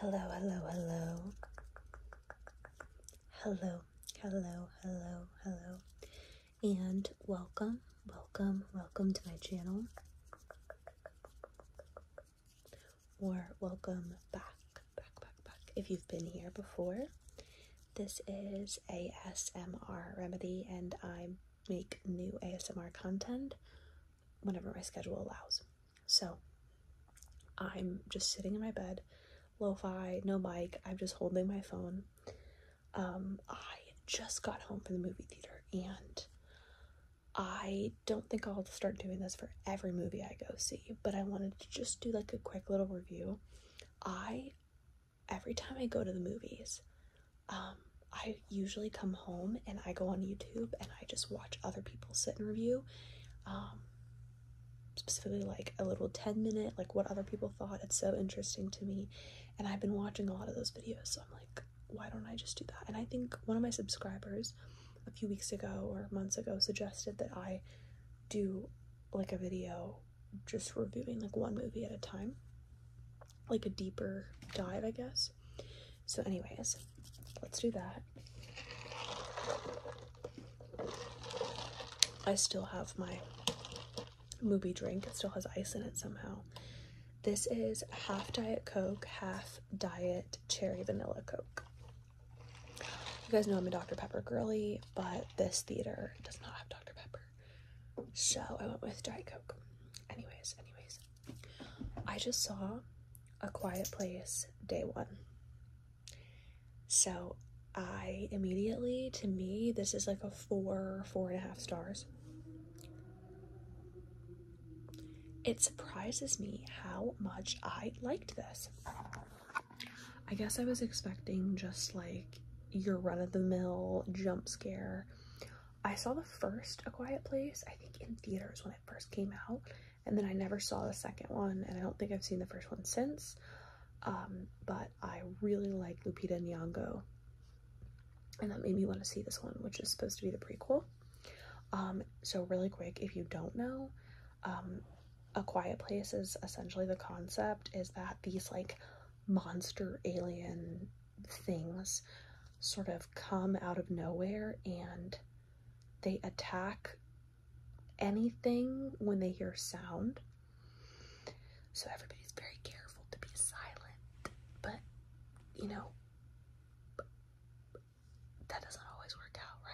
Hello, hello, hello. Hello, hello, hello, hello. And welcome, welcome, welcome to my channel. Or welcome back, back, back, back. If you've been here before, this is ASMR Remedy, and I make new ASMR content whenever my schedule allows. So I'm just sitting in my bed, lo fi, no mic, I'm just holding my phone. Um, I just got home from the movie theater and I don't think I'll start doing this for every movie I go see, but I wanted to just do like a quick little review. I, every time I go to the movies, um, I usually come home and I go on YouTube and I just watch other people sit and review. Um, specifically like a little 10 minute like what other people thought it's so interesting to me and i've been watching a lot of those videos so i'm like why don't i just do that and i think one of my subscribers a few weeks ago or months ago suggested that i do like a video just reviewing like one movie at a time like a deeper dive i guess so anyways, let's do that. I still have my Mubi drink. It still has ice in it somehow. This is half Diet Coke, half Diet Cherry Vanilla Coke. You guys know I'm a Dr. Pepper girlie, but this theater does not have Dr. Pepper. So I went with Diet Coke. Anyways, anyways, I just saw A Quiet Place day one. So I immediately, to me, this is like a four, four and a half stars. It surprises me how much I liked this. I guess I was expecting just like your run of the mill jump scare, I saw the first A Quiet Place, I think in theaters when it first came out, and then I never saw the second one, and I don't think I've seen the first one since. Um, but I really like Lupita Nyong'o, and that made me want to see this one, which is supposed to be the prequel. Um, so really quick, if you don't know, um, A Quiet Place is essentially the concept is that these like monster alien things sort of come out of nowhere and they attack anything when they hear sound. So everybody's very careful to be silent, but you know, that doesn't always work out,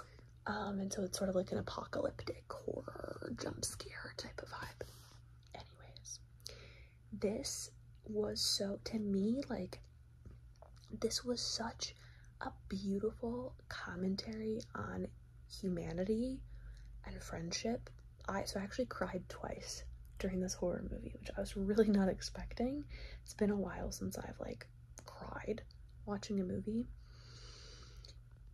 right? Um, and so it's sort of like an apocalyptic horror jump scare type of vibe. Anyways, this was so to me like this was such a beautiful commentary on humanity and friendship i so i actually cried twice during this horror movie which i was really not expecting it's been a while since i've like cried watching a movie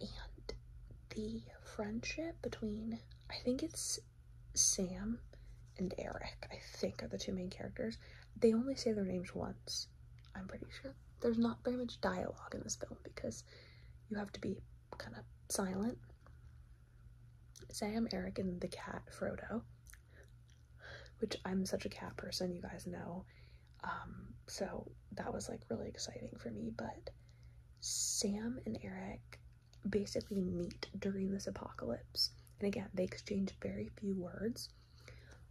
and the friendship between i think it's Sam and Eric, I think, are the two main characters. They only say their names once, I'm pretty sure. There's not very much dialogue in this film because you have to be kind of silent. Sam, Eric, and the cat, Frodo, which I'm such a cat person, you guys know. Um, so that was like really exciting for me. But Sam and Eric, basically meet during this apocalypse. And again, they exchange very few words,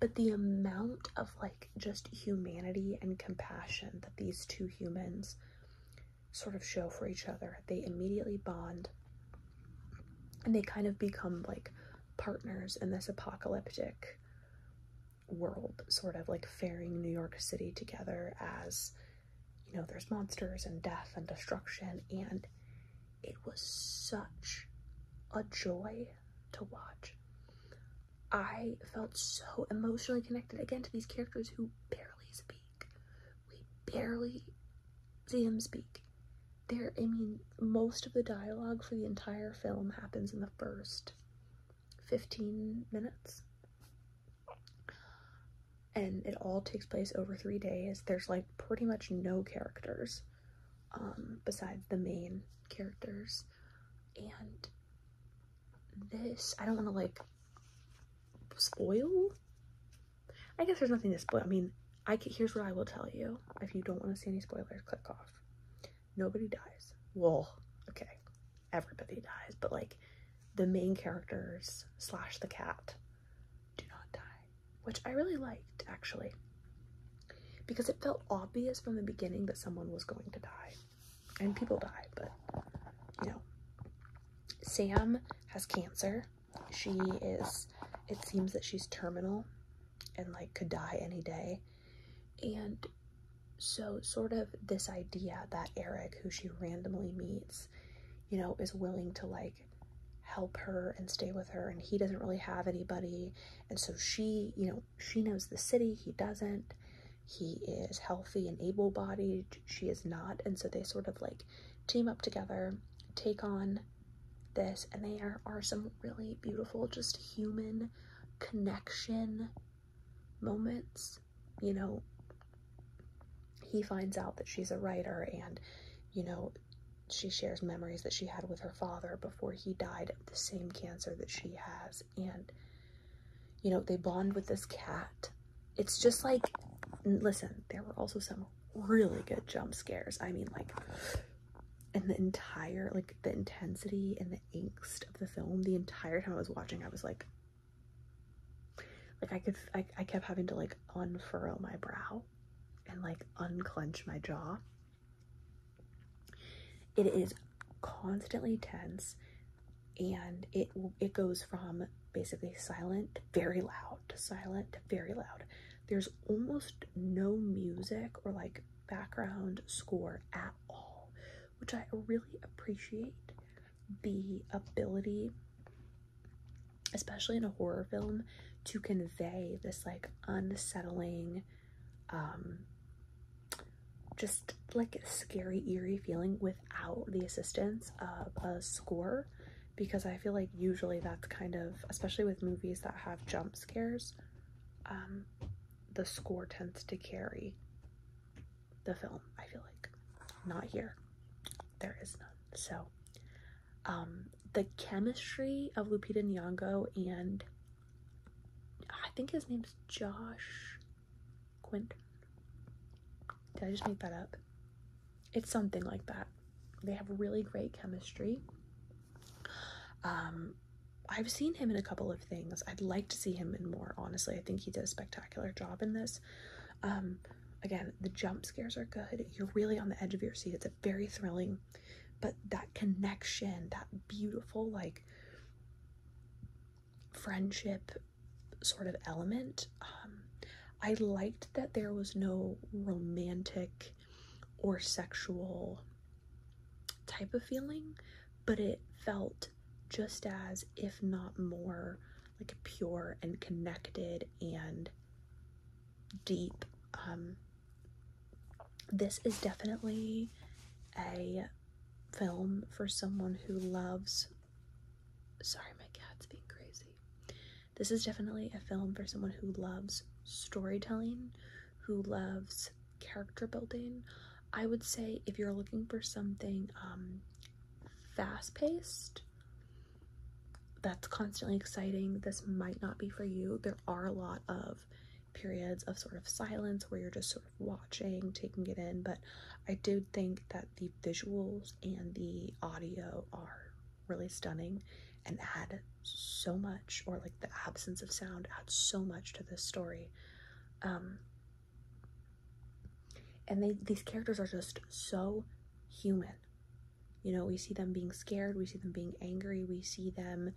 but the amount of like just humanity and compassion that these two humans sort of show for each other, they immediately bond and they kind of become like partners in this apocalyptic world, sort of like faring New York City together as you know, there's monsters and death and destruction, and it was such a joy to watch. I felt so emotionally connected again to these characters who barely speak. We barely see them speak. There, I mean, most of the dialogue for the entire film happens in the first 15 minutes. And it all takes place over three days. There's like pretty much no characters um, besides the main characters. And this, I don't want to like spoil. I guess there's nothing to spoil. I mean, I here's what I will tell you. If you don't want to see any spoilers, click off. Nobody dies. Well, okay, everybody dies, but like the main characters slash the cat do not die, which I really liked actually because it felt obvious from the beginning that someone was going to die and people die, but you know, Sam has cancer. She is, it seems that she's terminal and like could die any day. And so sort of this idea that Eric, who she randomly meets, you know, is willing to like help her and stay with her and he doesn't really have anybody and so she you know she knows the city he doesn't he is healthy and able-bodied she is not and so they sort of like team up together take on this and they are, are some really beautiful just human connection moments, you know, he finds out that she's a writer and, you know, she shares memories that she had with her father before he died of the same cancer that she has. And, you know, they bond with this cat. It's just like, listen, there were also some really good jump scares. I mean, like, and the entire, like, the intensity and the angst of the film the entire time i was watching i was like like i could i, I kept having to like unfurrow my brow and like unclench my jaw it is constantly tense and it it goes from basically silent very loud silent very loud there's almost no music or like background score at all which I really appreciate the ability, especially in a horror film, to convey this like unsettling, um, just like scary, eerie feeling without the assistance of a score because I feel like usually that's kind of, especially with movies that have jump scares, um, the score tends to carry the film, I feel like. Not here. There is none. So, um, the chemistry of Lupita Nyong'o and I think his name's Josh Quint. Did I just make that up? It's something like that. They have really great chemistry. Um, I've seen him in a couple of things. I'd like to see him in more, honestly. I think he did a spectacular job in this. Um, again, the jump scares are good. You're really on the edge of your seat. It's a very thrilling, but that connection, that beautiful, like, friendship sort of element. Um, I liked that there was no romantic or sexual type of feeling, but it felt just as, if not more, like pure and connected and deep. Um, this is definitely a film for someone who loves. Sorry, my cat's being crazy. This is definitely a film for someone who loves storytelling, who loves character building. I would say if you're looking for something um, fast paced, that's constantly exciting, this might not be for you. There are a lot of periods of sort of silence where you're just sort of watching, taking it in, but I did think that the visuals and the audio are really stunning and add so much, or like the absence of sound adds so much to this story. Um, and they these characters are just so human. You know, we see them being scared, we see them being angry, we see them,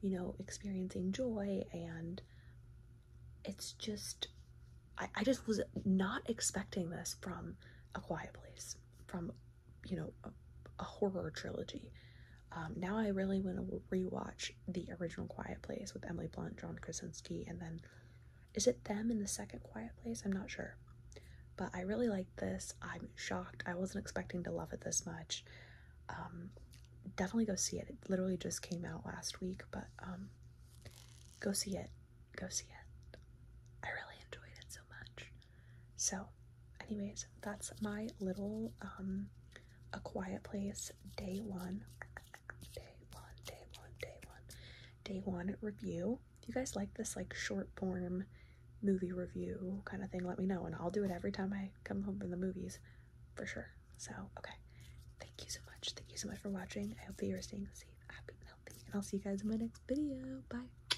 you know, experiencing joy, and it's just, I just was not expecting this from A Quiet Place, from you know, a, horror trilogy. Um, now I really want to rewatch the original Quiet Place with Emily Blunt, John Krasinski, and then is it them in the second Quiet Place? I'm not sure. But I really like this. I'm shocked. I wasn't expecting to love it this much. Um, definitely go see it. It literally just came out last week, but um, go see it. Go see it. I really enjoyed it so much. So, anyways, that's my little um a quiet place day one. Day one, day one, day one, day one review. If you guys like this like short form movie review kind of thing, let me know and I'll do it every time I come home from the movies for sure. So, okay. Thank you so much. Thank you so much for watching. I hope that you are staying safe, happy, and healthy. And I'll see you guys in my next video. Bye.